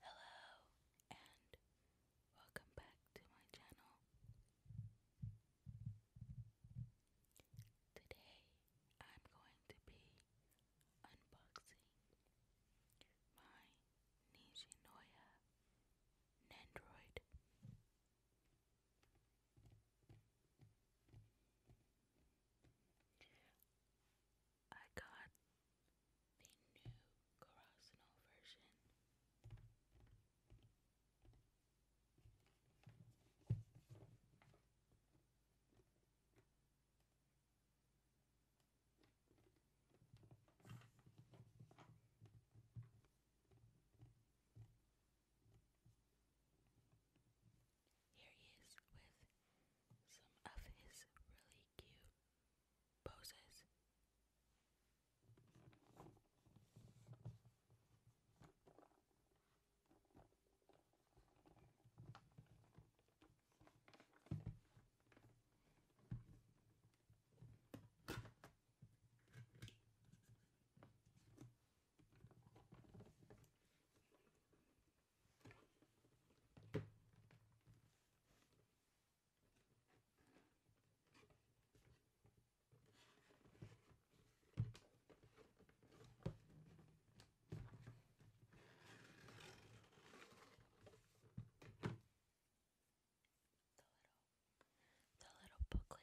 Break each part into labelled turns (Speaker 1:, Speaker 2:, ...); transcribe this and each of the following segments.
Speaker 1: Hello and welcome back to my channel. Today I'm going to be unboxing my Nishinoya Nendroid. I got the new Corasino version. Here he is with some of his really cute poses. The little, the little booklet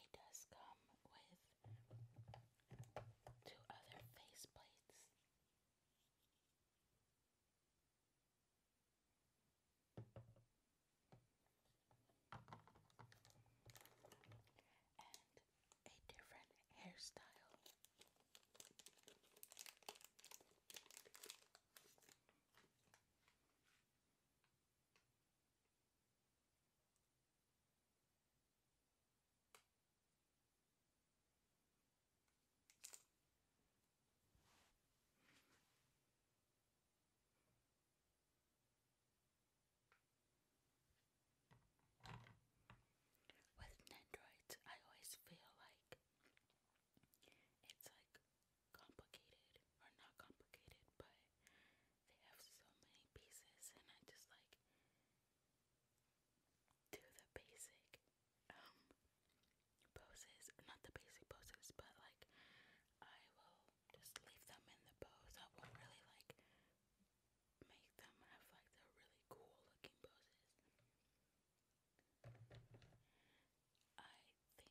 Speaker 1: It does come with two other face And a different hairstyle. With Nendroids, I always feel like it's like complicated or not complicated, but they have so many pieces, and I just like do the basic um, poses, not the basic poses, but like I will just leave them in the pose. I won't really like make them have like the really cool looking poses. I think that I am going to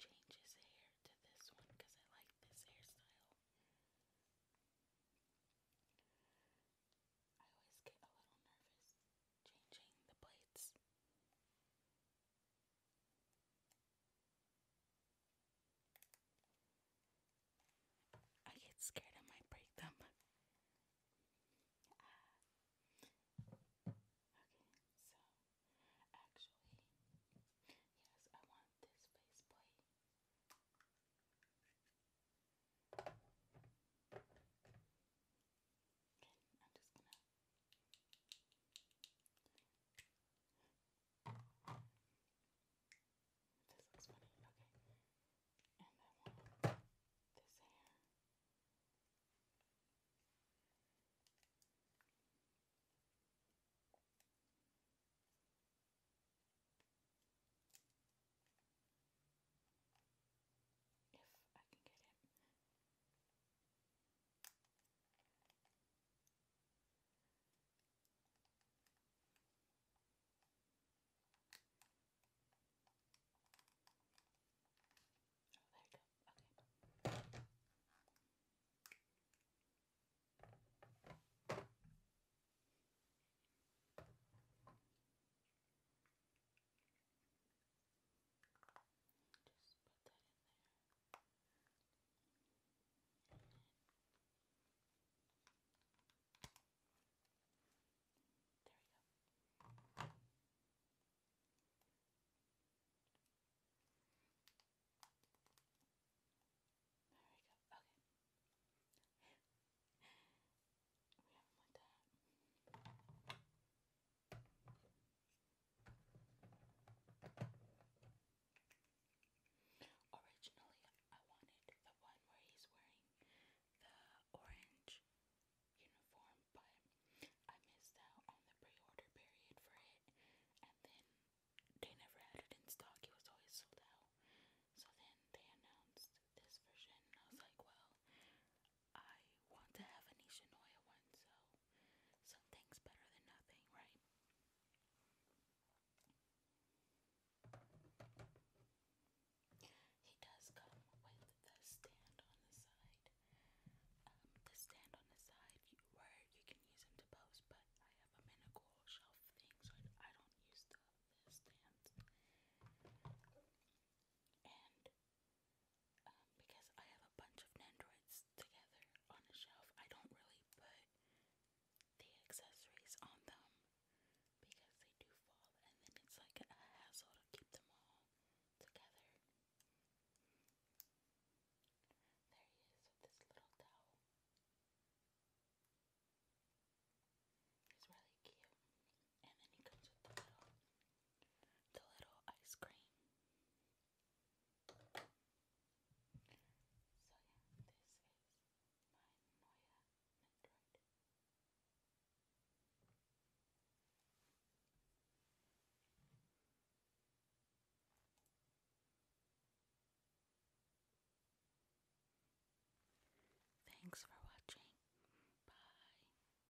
Speaker 1: change his hair to this one because I like this hairstyle. I always get a little nervous changing the plates. I get scared I might break them. Ah. okay, so actually, yes, I want this faceplate. Okay, I'm just gonna. This looks funny. Okay. And I want this hair. If I can get it. Oh, there you go. Okay. Just put that in there. There we go. There we go. Okay. we haven't went that. Originally, I wanted the one where he's wearing the orange uniform, but I missed out on the pre order period for it, and then they never had it in stock, it was always sold out. So then they announced this version, and I was like, well, I want to have a Nisha one, so Something's better than nothing, right? He does come with the stand on the side. Um, the stand on the side you, where you can use them to post, but I have a cool shelf thing, so I, don't use the stand. And because I have a bunch of Nendoroids together on a shelf. I don't really put the accessories on them because they do fall, and then it's like a hassle to keep them all together. There he is with this little towel. He's really cute. And then he comes with the little the little ice cream. So yeah, this is my Moya Metroid. Thanks for watching. Bye.